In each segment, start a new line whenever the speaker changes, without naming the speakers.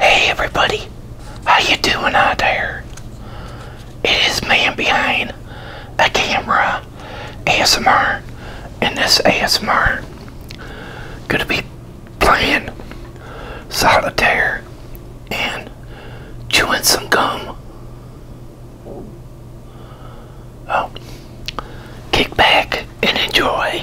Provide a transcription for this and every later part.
Hey everybody, how you doing out there? It is man behind a camera, ASMR, and this ASMR gonna be playing solitaire and chewing some gum. Oh, kick back and enjoy.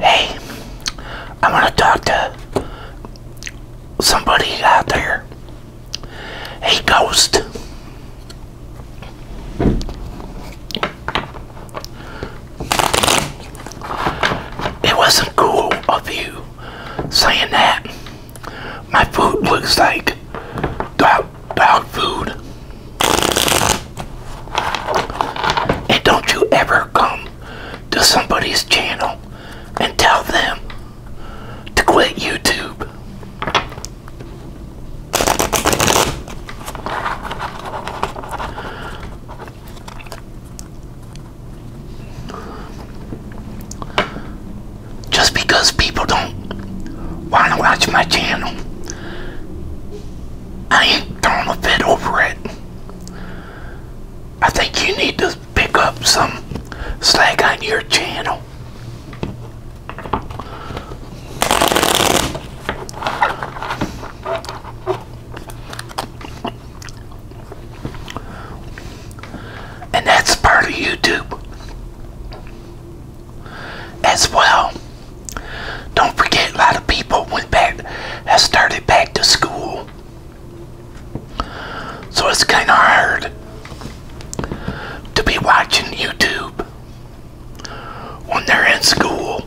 Hey, I want to talk to somebody out there. A ghost. It wasn't cool of you saying that. My food looks like dog, dog food. And don't you ever come to somebody's channel and tell them to quit YouTube. Just because people don't want to watch my channel, I ain't throwing a fit over it. I think you need to pick up some slack on your channel. And that's part of YouTube as well. Don't forget, a lot of people went back, have started back to school. So it's kind of hard to be watching YouTube when they're in school.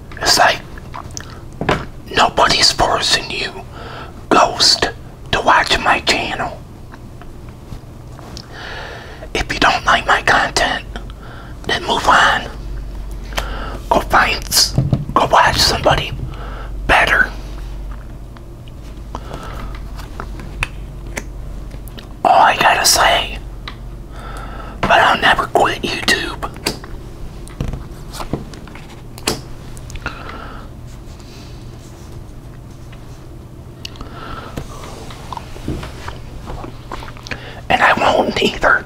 It's like nobody's forcing you, Ghost, to watch my channel. If you don't like my content, then move on. Go find, go watch somebody better. All I gotta say but I'll never quit YouTube. And I won't either.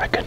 I can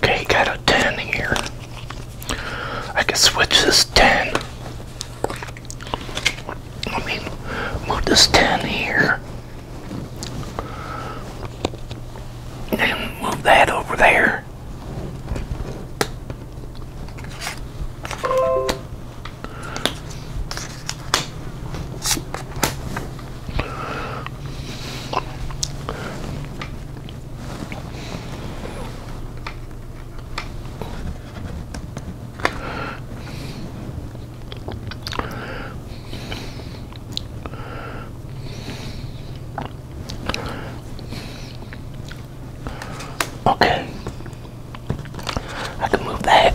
Okay, got a 10 here. I can switch this 10. I mean, move this 10 here. And move that over there. Okay, I can move that.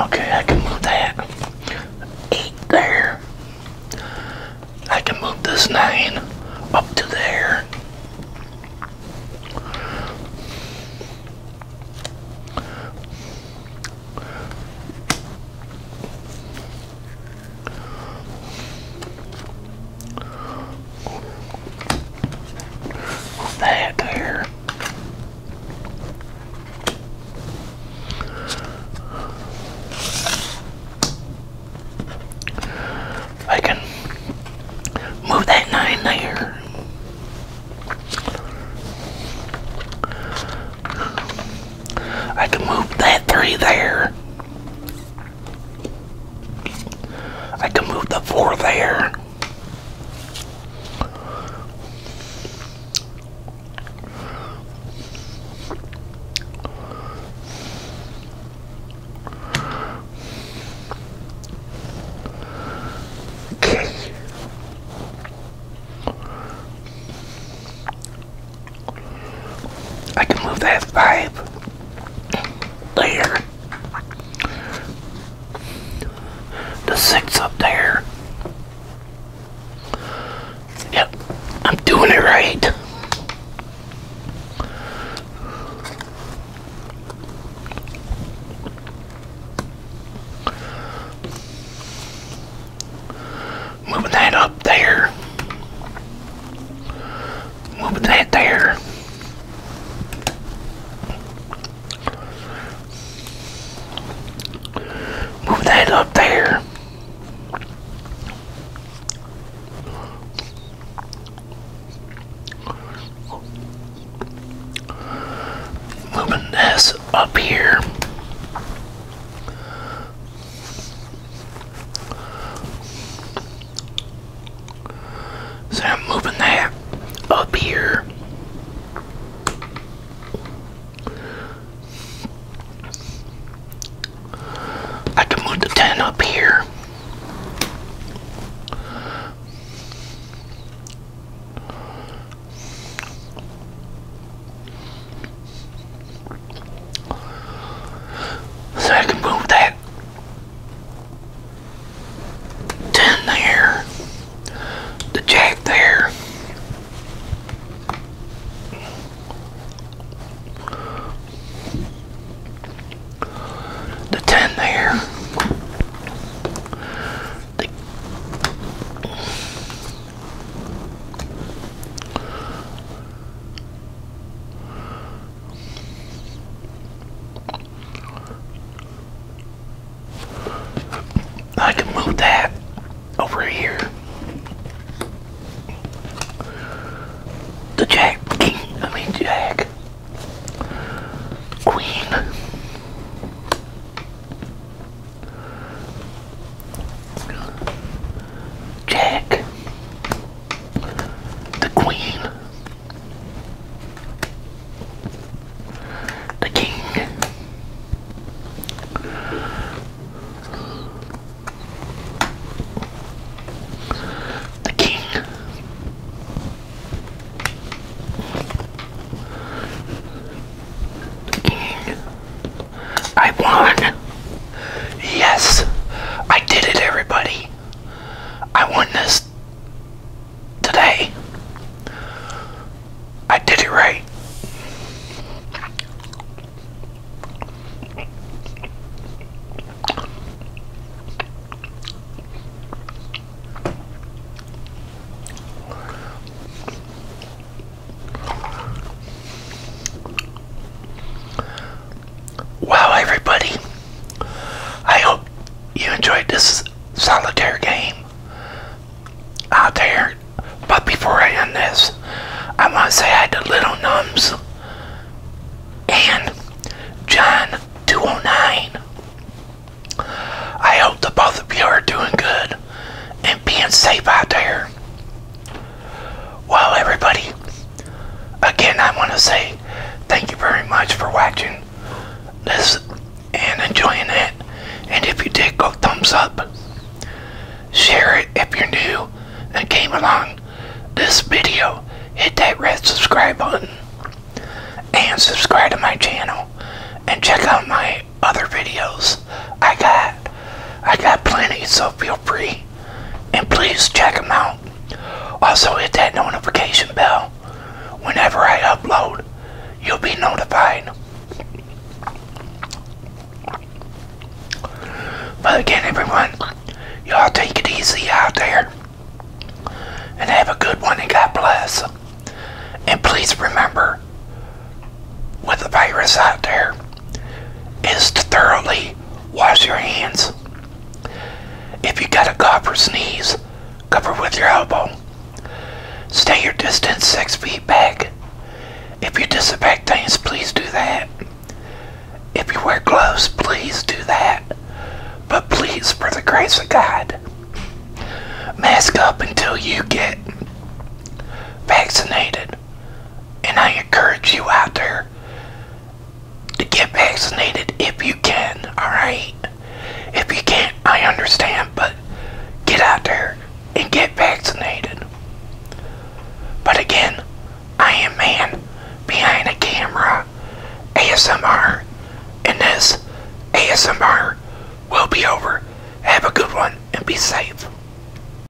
Okay, I can move that eight there. I can move this nine up to there. That there. I can move that nine there. I can move that three there. I can move the four there. Okay. I can move that five there, the six up there. Yep, I'm doing it right. Moving that up there. Moving that there. Move that up there. Moving this up here. So I'm moving that up here. I can move the 10 up here. So I can move that 10 there, the jack there. The 10 there. The I can move that over here. The Jack King, I mean Jack Queen. Jack, the Queen, the King, the King, the King. I won. Yes, I did it, everybody. I won this today. I did it right. Wow, everybody, I hope you enjoyed this solitaire game out there. But before I end this, I want to say hi to Little Nums and John209. I hope the both of you are doing good and being safe out there. Well, everybody, again, I want to say thank you very much for watching this and enjoying it. And if you did, go thumbs up. Share it if you're new and came along this video. Hit that red subscribe button and subscribe to my channel and check out my other videos. I got. I got plenty, so feel free and please check them out. Also, hit that notification bell. Whenever I upload, you'll be notified. But again, everyone, y'all take it easy out there and have a good one and God bless. And please remember, with the virus out there, is to thoroughly wash your hands. If you got a cough or sneeze, cover with your elbow. Stay your distance six feet back. If you disinfect things, please do that. If you wear gloves, please do that. But please, for the grace of God, mask up until you get vaccinated. And I encourage you out there to get vaccinated if you can, alright? If you can't, I understand, but get out there and get vaccinated. But again, I am man behind a camera, ASMR, and this ASMR will be over. Have a good one and be safe.